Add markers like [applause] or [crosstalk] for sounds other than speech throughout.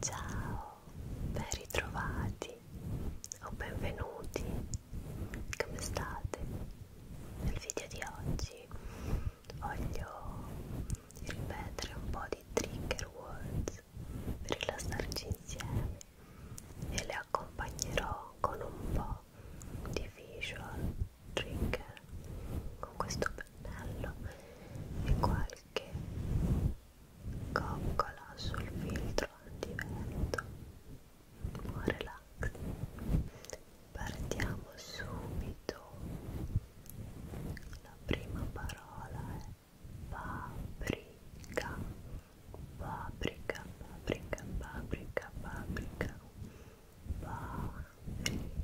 Ciao, ben ritrovati o benvenuti, come state? Nel video di oggi voglio ripetere un po' di trigger words per rilassarci insieme e le accompagnerò con un po' di visual trigger con questo pennello e qualche che coccola sul filtro di vento un relax partiamo subito la prima parola è paprika paprika paprika paprika paprika paprika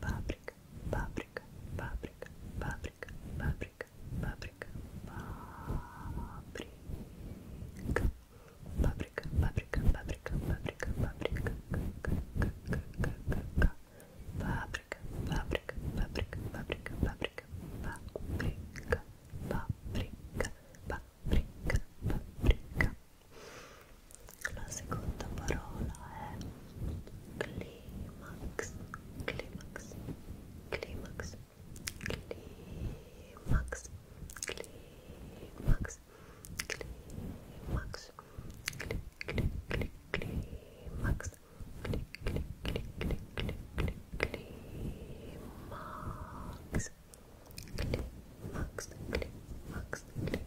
paprika, paprika, paprika, paprika, paprika, paprika, paprika. Paprika, paprika, paprika, paprika, paprika, paprika, paprika, paprika, paprika, paprika, paprika, paprika, paprika, paprika, paprika. la seconda parola è climax climax climax climax climax climax clic clic clic climax clic clic clic clic clic clic climax climax climax climax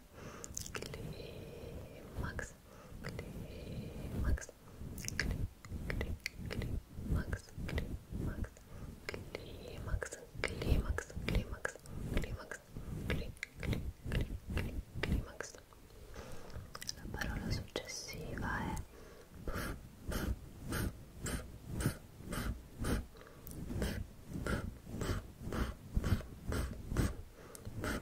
climax, climax, climax, climax, climax, climax, climax, climax, climax, climax. La parola successiva è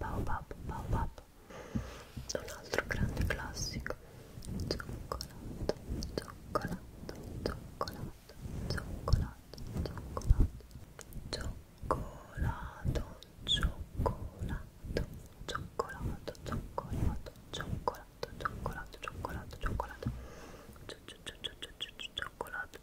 Baobab, Baobab un altro grande classico Cioccolato, cioccolato, cioccolato, cioccolato, cioccolato Cioccolato, cioccolato, cioccolato, cioccolato, cioccolato, cioccolato, cioccolato, cioccolato Cioccolato, cioccolato, cioccolato,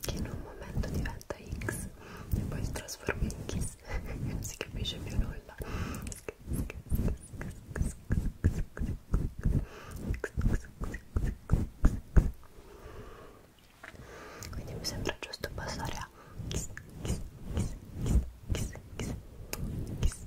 che in un momento diventa X e poi si trasforma in Kiss [laughs] non si capisce più nulla quindi mi sembra giusto passare a kiss kiss kiss kiss kiss kiss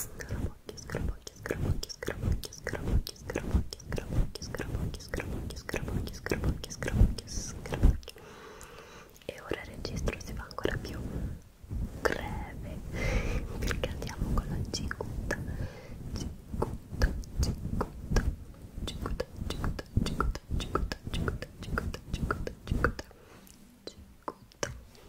Scarabocchio, scarabocchio, scarabocchio, scarabocchio, scarabocchio, scarabocchio, scarabocchio, scarabocchio, scarabocchio, scarabocchio, scarabocchio, scarabocchio. E ora il registro si fa ancora più breve perché andiamo con la cicuta, cicuta, cicuta, cicuta, cicuta, cicuta, cicuta, cicuta, cicuta, cicuta, cicuta, cicuta.